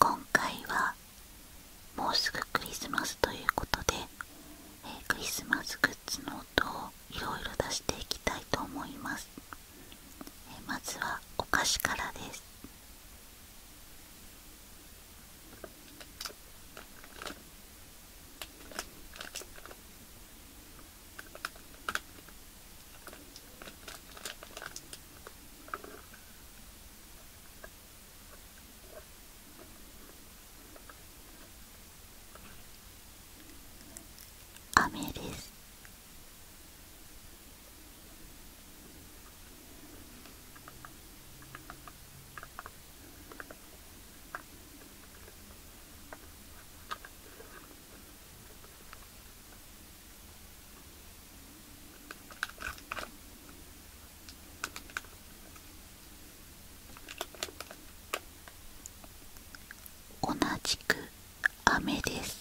今回はもうすぐクリスマスということで、クリスマスグッズの音をいろいろ出していきたいと思います、まずはお菓子からです雨です同じく雨です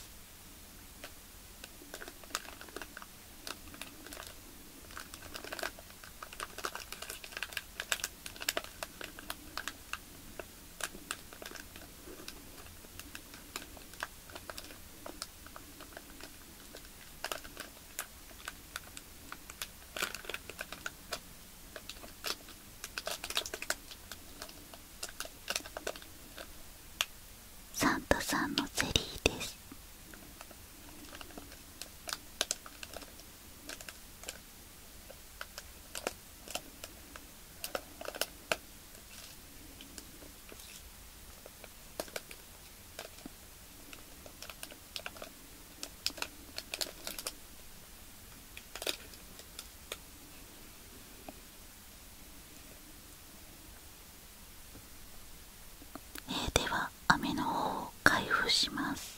サンタさんのゼリーですでは雨の方を開封します。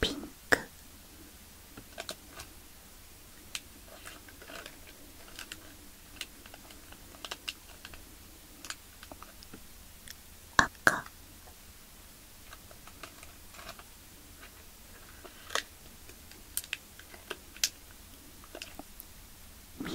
ピンク赤緑黄色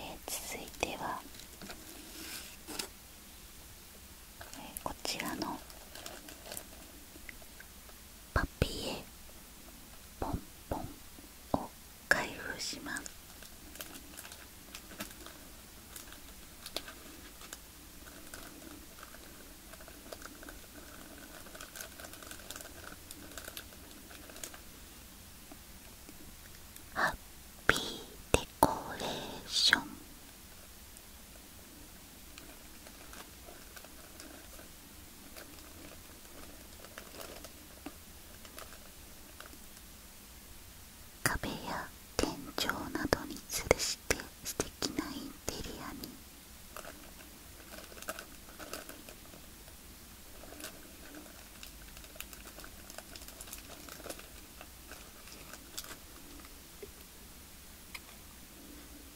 え続いては、こちらのパピエポンポンおか開封しますハッピーデコレーション壁や天井などに吊るして素敵なインテリアに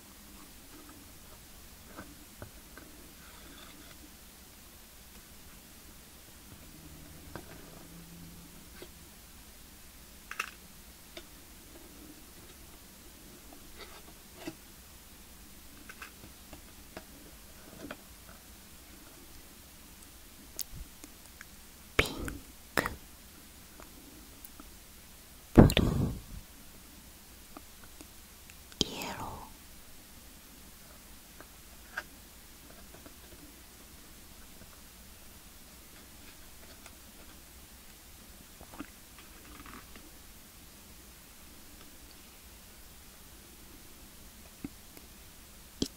ピンクブルーイエロー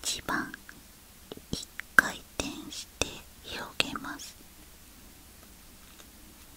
一番一回転して広げます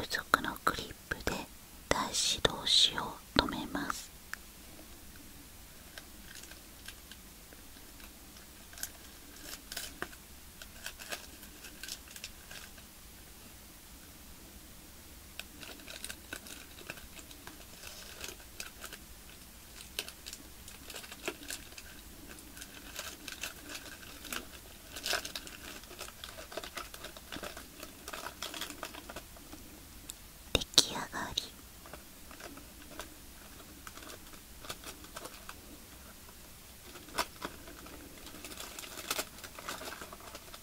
付属のクリップで台紙同士を留めます出来上がり。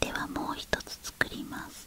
ではもう一つ作ります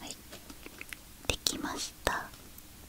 はいできました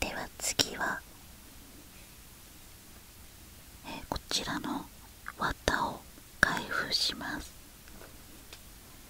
では次は、こちらの綿を開封します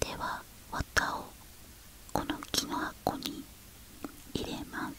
では綿をこの木の箱に入れます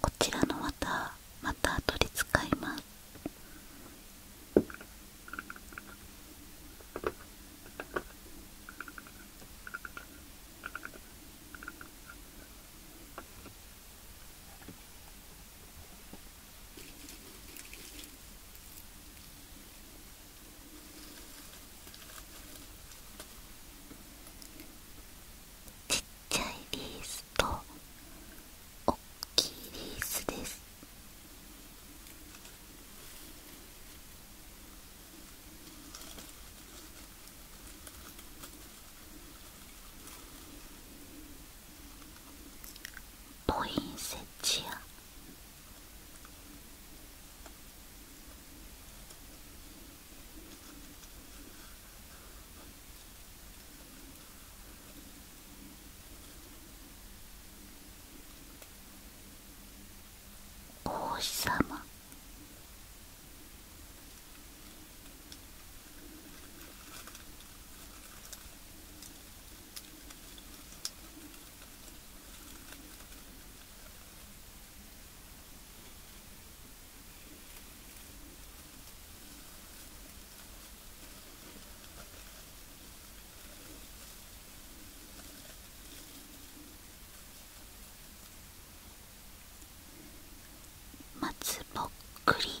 こちらの綿また取り使いますちっちゃいリースとおっきいリースですポインセチアお日様松ぼっくり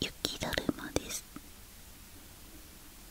雪だるまです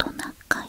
トナカイ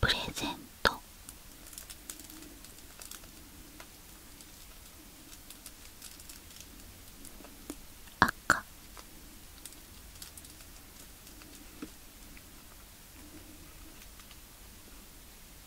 プレゼント赤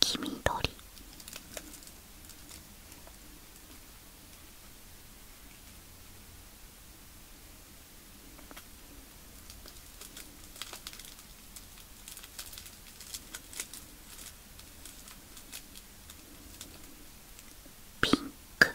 黄緑ピンク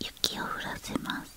雪を降らせます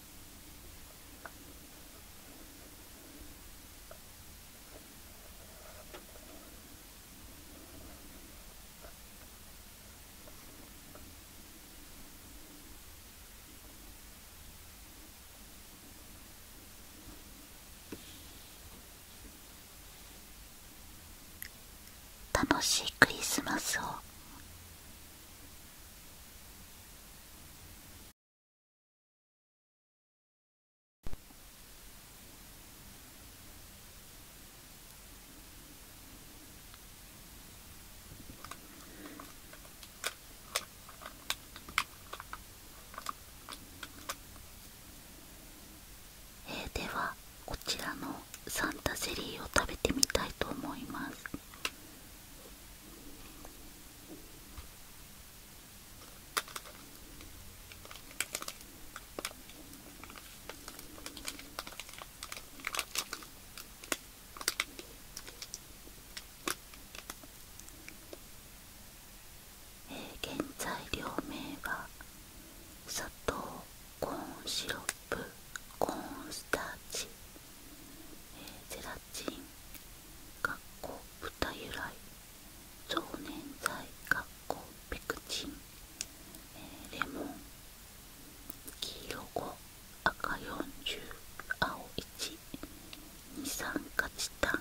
楽しいクリスマスをではこちらのサンタゼリーを食べてみたいと思いますえ原材料名は砂糖コーンシロコーンスターチ、ゼラチン豚由来増粘剤ペクチン、レモン黄色5赤40青1二酸化チタン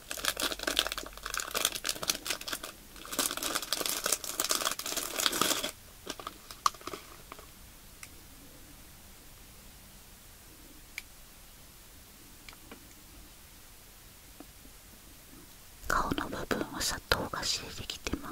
顔の部分は砂糖がし出てきてます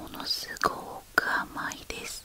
ものすごく甘いです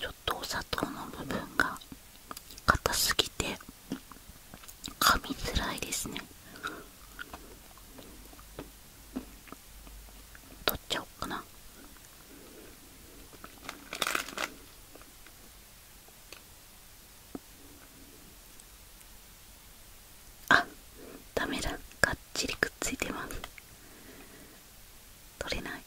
ちょっとお砂糖の部分が硬すぎて噛みづらいですね取っちゃおうかなあダメだがっちりくっついてます取れない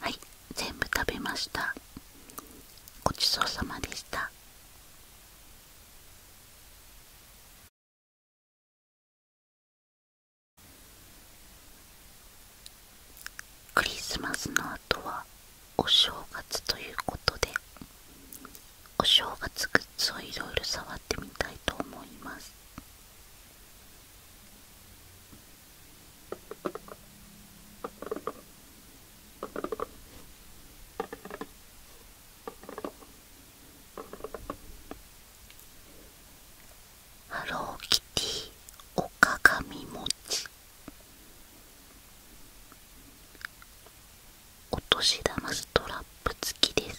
はい全部食べましたごちそうさまでしたクリスマスの後はお正月ということでお正月グッズをいろいろ触ってみたいと思いますハローキティおかかみもちお年玉ストラップ付きです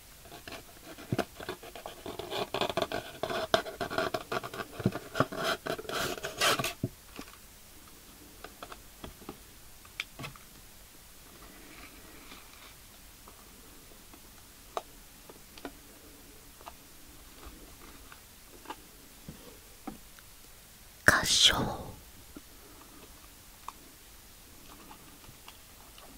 合唱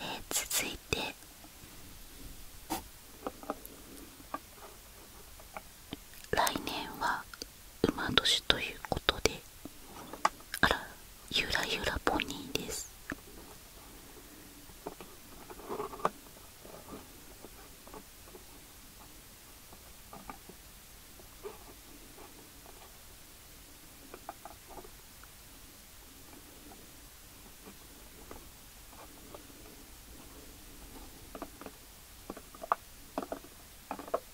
え続いて来年は馬年ということであらゆらゆらポニーです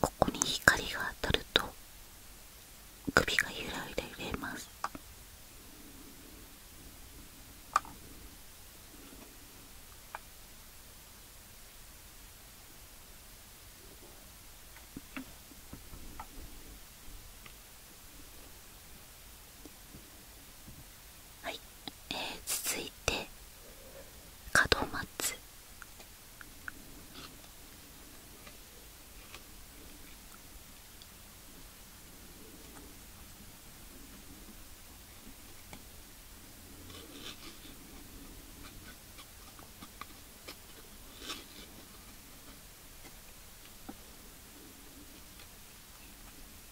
ここに光が当たると首がゆらゆら揺れますはい、えー、続いて門松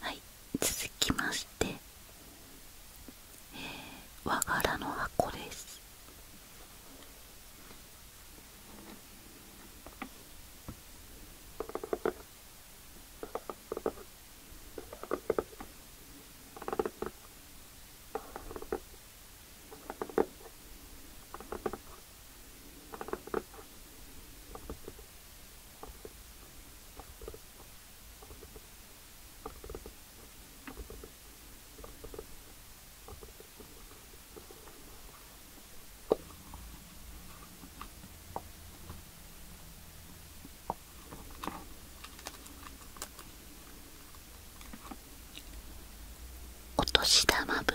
はい続きまして、えー、和柄の箱ですお年玉袋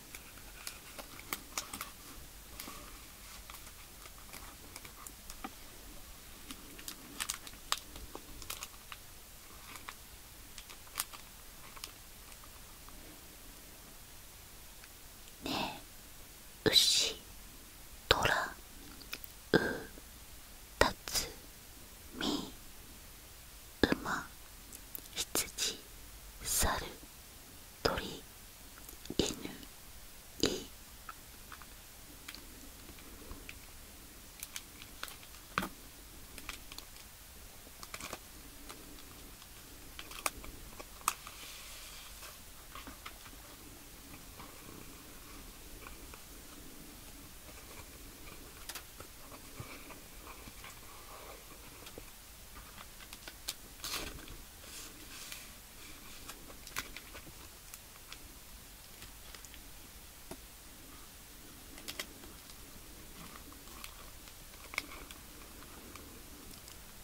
ねえ牛虎うたつみ馬羊猿鳥犬い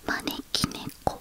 招き猫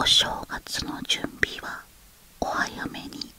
お正月の準備はお早めに。